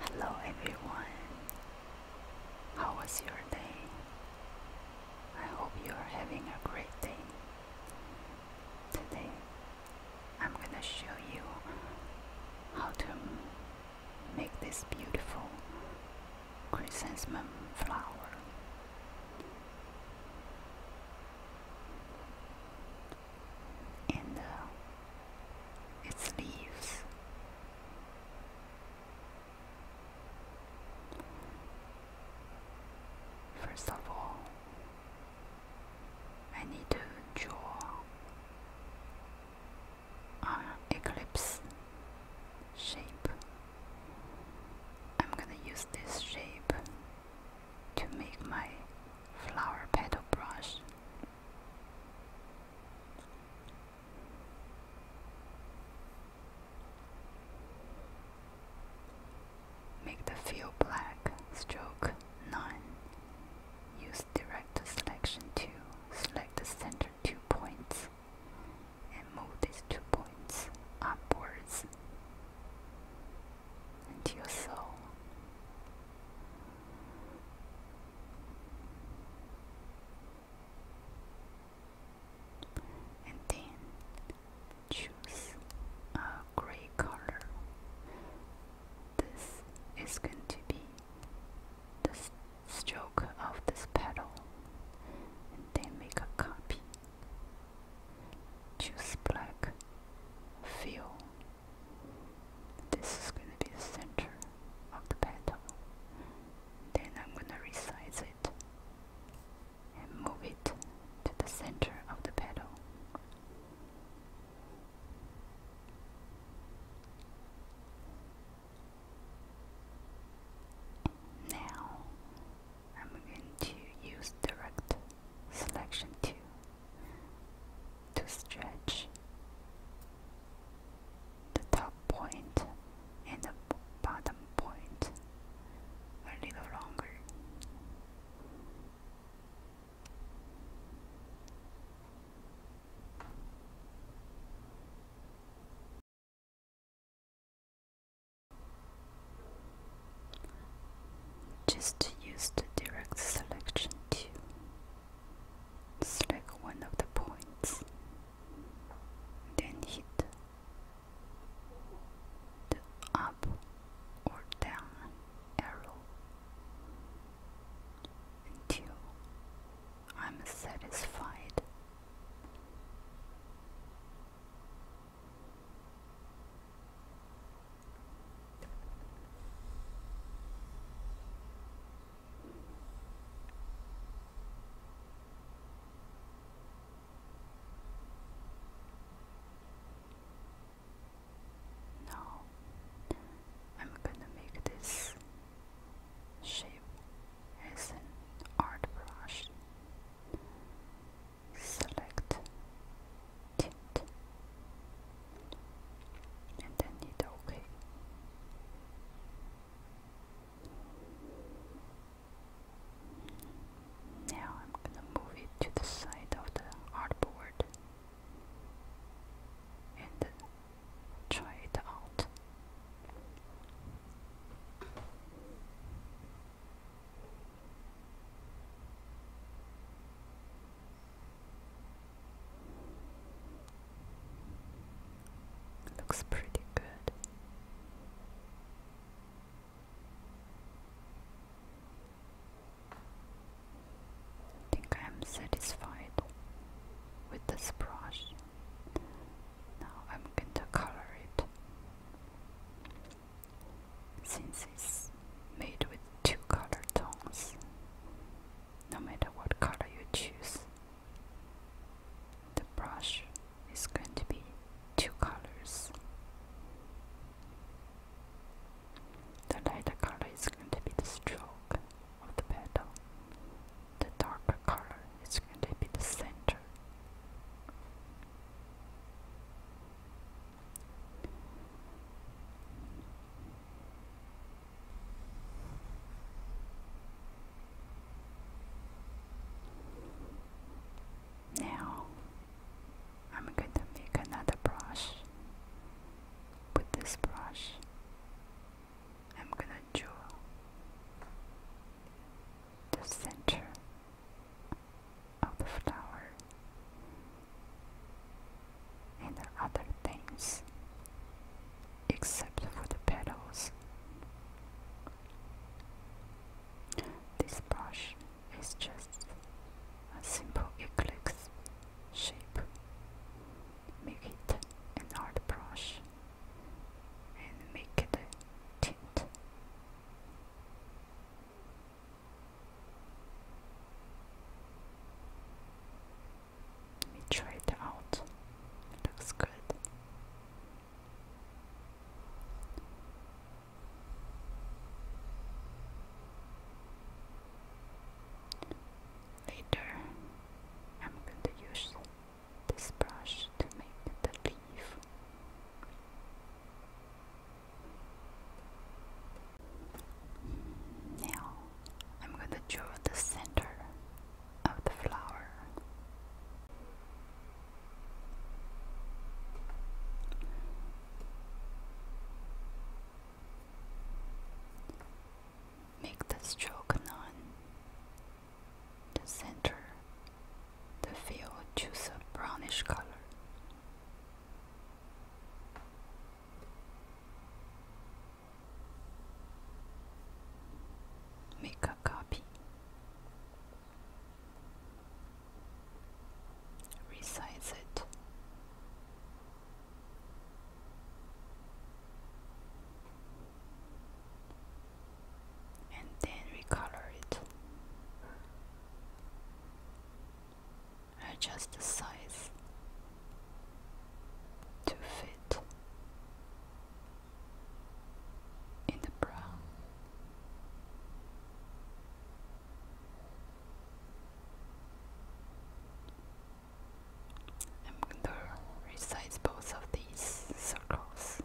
Hello everyone. How was your day? I hope you're having a great day. Today I'm going to show you how to make this beautiful chrysanthemum flower and uh, its leaves. First of all, I need to draw an eclipse shape. I'm gonna use this shape to make my flower petal brush. Make the fill black, stroke 9. Use direct selection to select the center two points and move these two points upwards into your soul and then choose a gray color. This is going to be the stroke of this petal, and then make a copy. Choose black, fill this is going to be the center of the petal. Then I'm going to resize it and move it to the center of the petal. Now I'm going to use direct selection tool to stretch the top point and the bottom point a little longer. Just use the direct selection tool select one of the points, then hit the up or down arrow until I'm satisfied. Now I'm gonna make this shape as an art brush. Select and then hit OK. Now I'm gonna move it to the side of the artboard and try it out. Looks pretty good. I think I am satisfied with this brush. Now I'm going to color it since made with two color tones, no matter what color you choose. The brush is going to be two colors. The lighter color is going to be the stroke of the petal. The darker color is going to be the center. Now I'm going to make another brush. With this brush, I'm gonna draw the center of the flower and other things, except for the petals. This brush is just a simple eclipse shape. Make it an art brush and make it a tint. Let me try it out. looks good. Later, I'm going to use this brush to make the leaf. Now I'm going to draw the center of the flower. Make the stroke on the center. The feel choose a brownish color. Make a copy. Resize it. And then recolor it are just the size to fit in the brown. I'm going to resize both of these circles.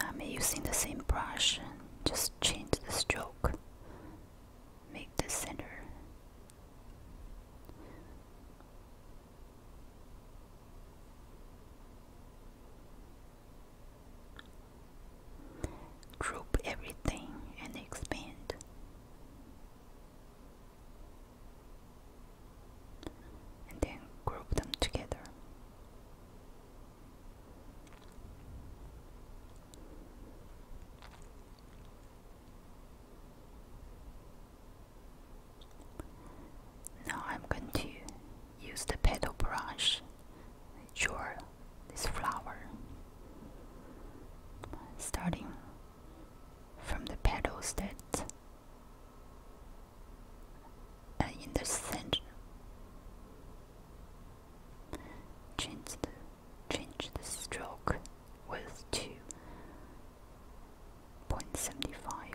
I'm using the same brush, just change the stroke, make the center. Group everything and expand. And then group them together. Now I'm going to use the paddle brush to draw this flower starting from the petals that in the center change the, change the stroke with 2.75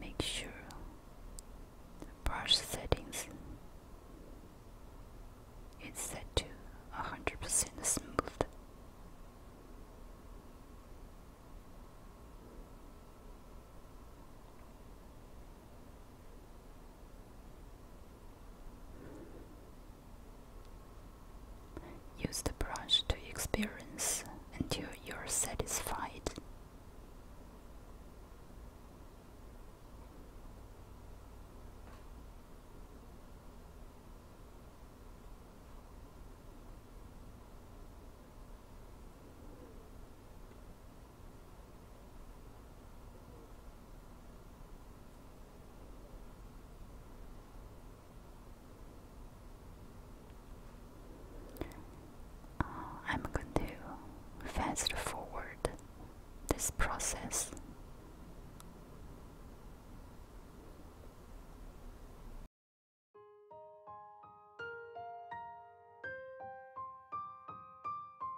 Make sure the brush settings is set to 100% smooth. Use the brush to experience until you're satisfied. Uh, I'm going to fast forward this process.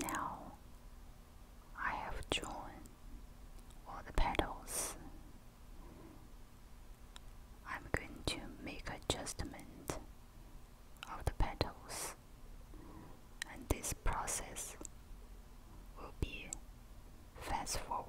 Now I have drawn all the petals I'm going to make adjustment of the petals and this process will be fast forwarded.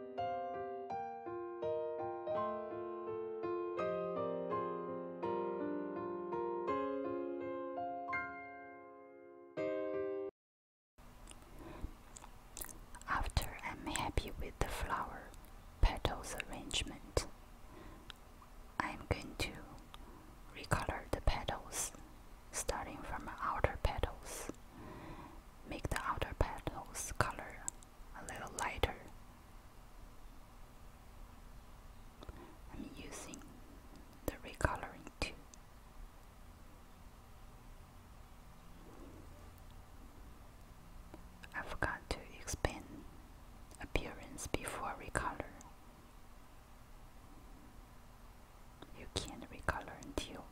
After I'm happy with the flower petals arrangement, I'm going to recolor the petals starting from outer petals. Make the outer petals color a little lighter. I'm using the recoloring too. I forgot to explain appearance before recolor. You can't recolor until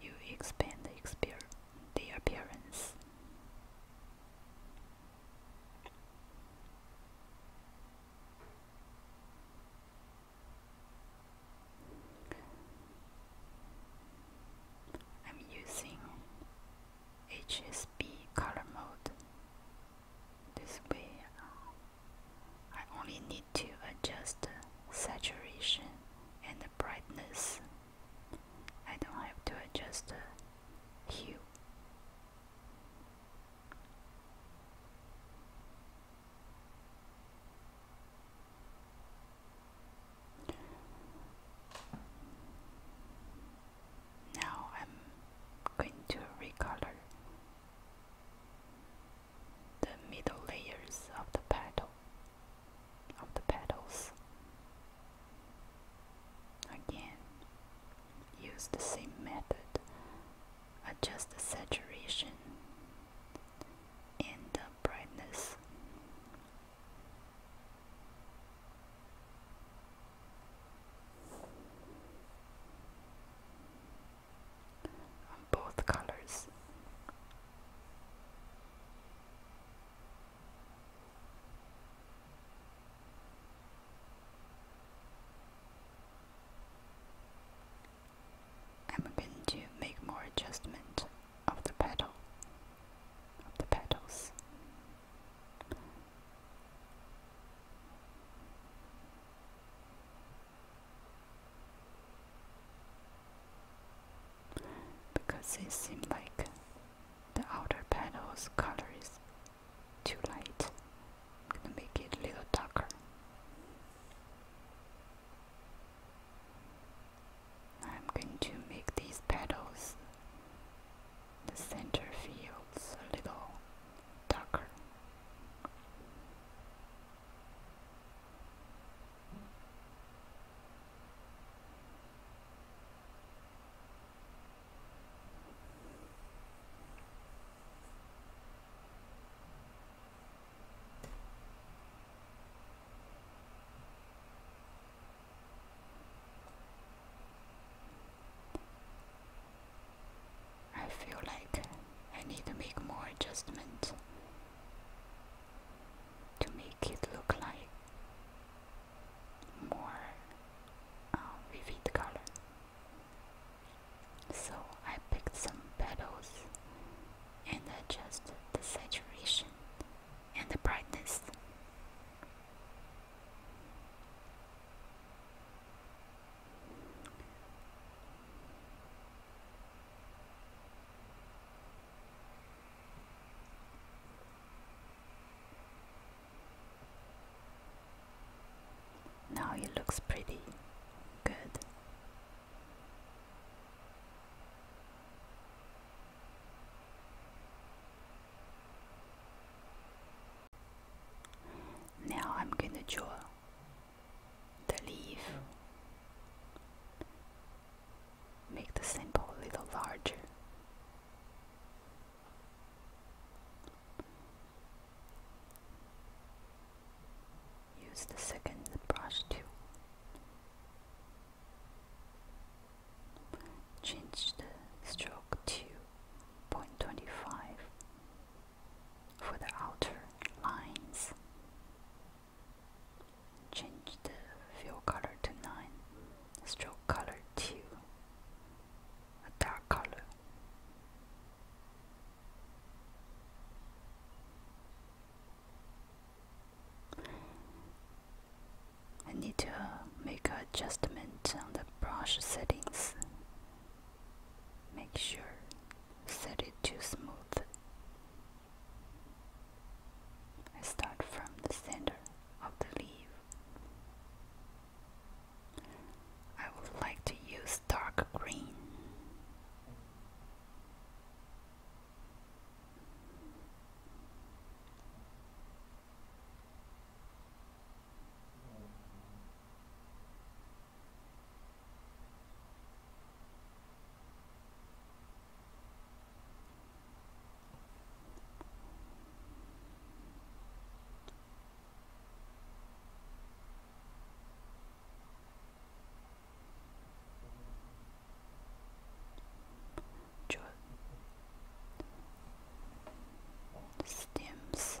you expand the, appearance. I'm using HSB color mode. This way, uh, I only need to adjust saturation and brightness. I don't have to adjust hue. Now I'm going to recolor the middle layers of the petal of the petals. Again, use the same method. Adjust the saturation and the brightness both colors. I'm going to make more adjustment of the petal of the petals because it seems like the outer petals color is too light. I'm gonna make it a little darker. I'm going to make these petals, the center fields, a little darker. I feel like I need to make more adjustments to make it look like more um, vivid color. So I picked some petals and adjusted the saturation and the brightness. Now it looks pretty good. Now I'm going to draw the leaf. Make the symbol a little larger. Use the second brush to change the stroke to 0.25 for the outer lines. Change the fill color to 9, stroke color to a dark color. I need to make an adjustment on the brush settings. Make sure set it to smooth. I start from the center of the leaf. I would like to use dark green stems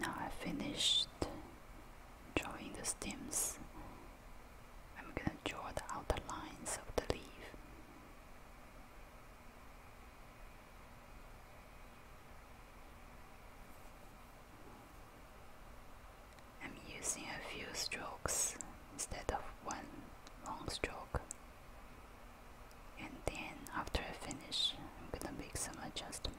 Now I finished drawing the stems I'm going to draw the outer lines of the leaf. I'm using a few strokes instead of one long stroke. And then after I finish, I'm gonna make some adjustment.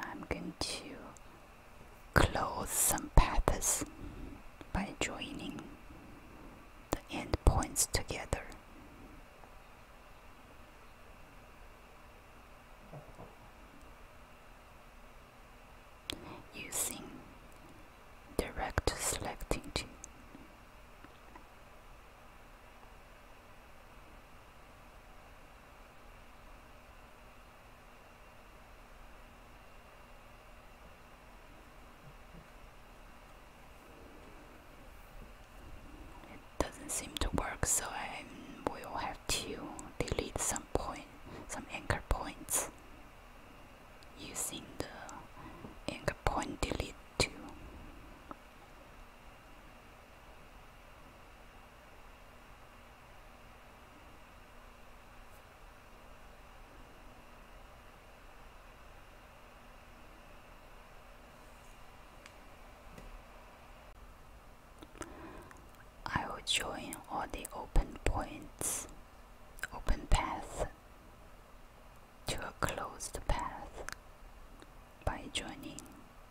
I'm going to close some paths by joining the end points together. Using direct selecting it doesn't seem to work, so I will have to delete some point, some anchor points using the anchor point delete tool. I will join all the open points, open paths to a closed path by joining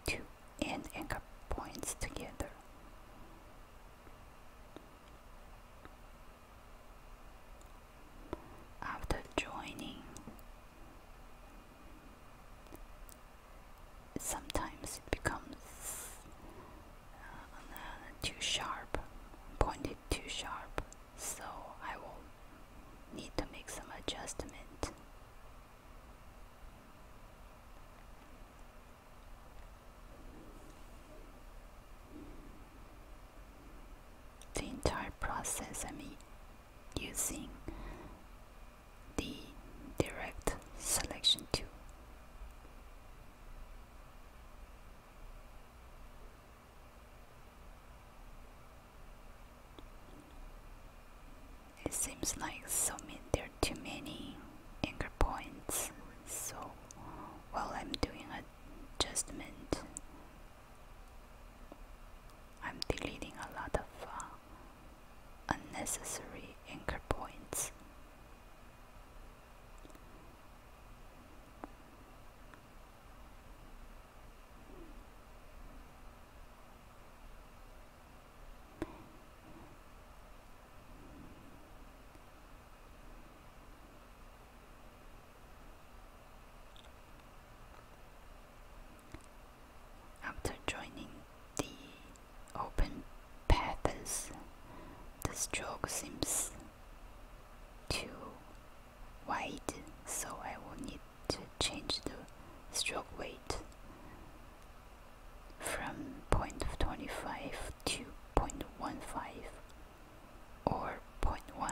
two end anchor points together. After joining, sometimes it becomes uh, too sharp, pointed too sharp, so I will need to make some adjustment. The entire process I'm using the direct selection tool. It seems like so many, there are too many anchor points. So while I'm doing adjustment, I'm deleting a lot of uh, unnecessary anchor points. After joining the open paths, the stroke seems to wide so I will need to change the stroke weight from point twenty five to 0.15 or one.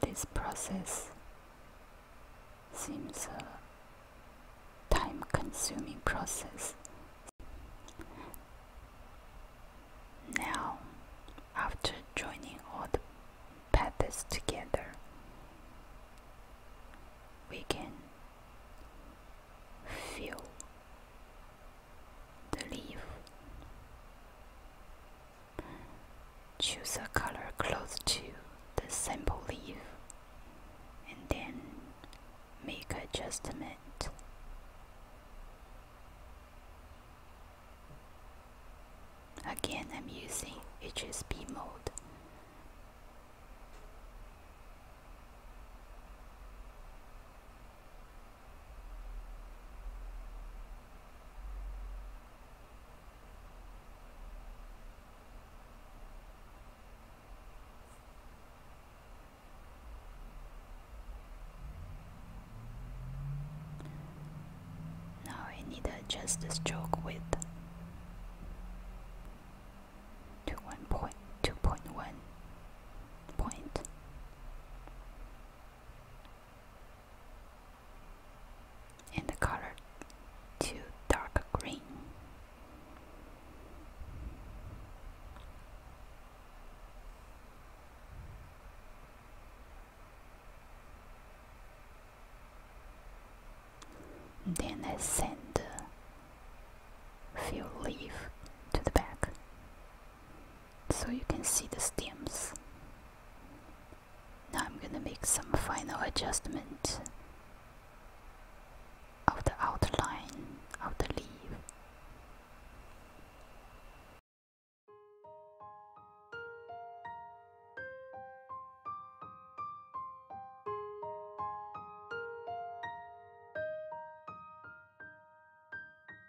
This process seems a time consuming process. Now, after joining all the paths together, we can feel the leaf Choose a color close to the sample leaf and then make adjustment. Again, I'm using HSB mode. Now I need to adjust the stroke width to one point two point one point and the color to dark green. Then I send few leaves to the back so you can see the stems. Now I'm gonna make some final adjustment of the outline of the leaf.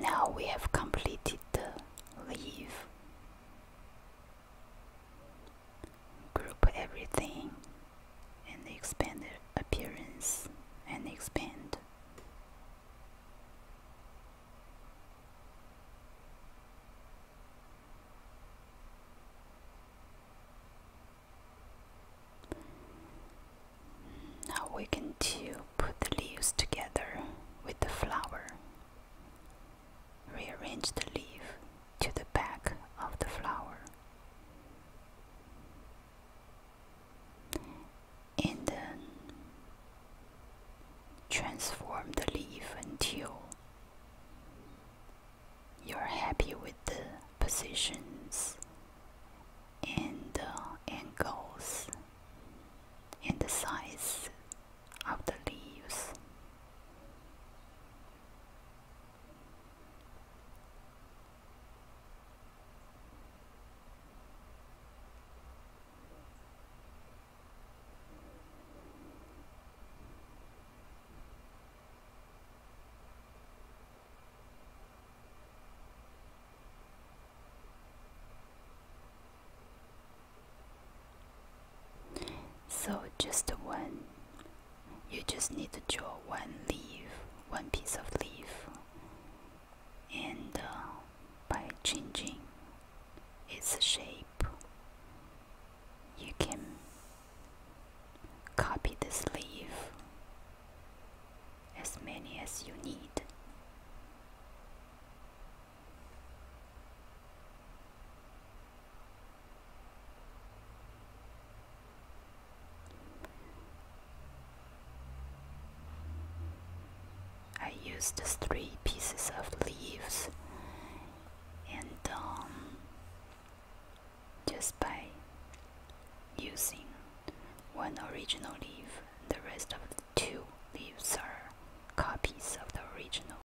Now we have completed the leaf group everything and expand the appearance and expand now we can to put the leaves together with the flower Rearrange the leaf to the back of the flower. And then transform the leaf until you're happy with the positions and the angles and the size of the leaves. So just one. You just need to draw one leaf, one piece of leaf, and uh, by changing its shape, you can copy this leaf as many as you need. I used three pieces of leaves and um, just by using one original leaf, the rest of the two leaves are copies of the original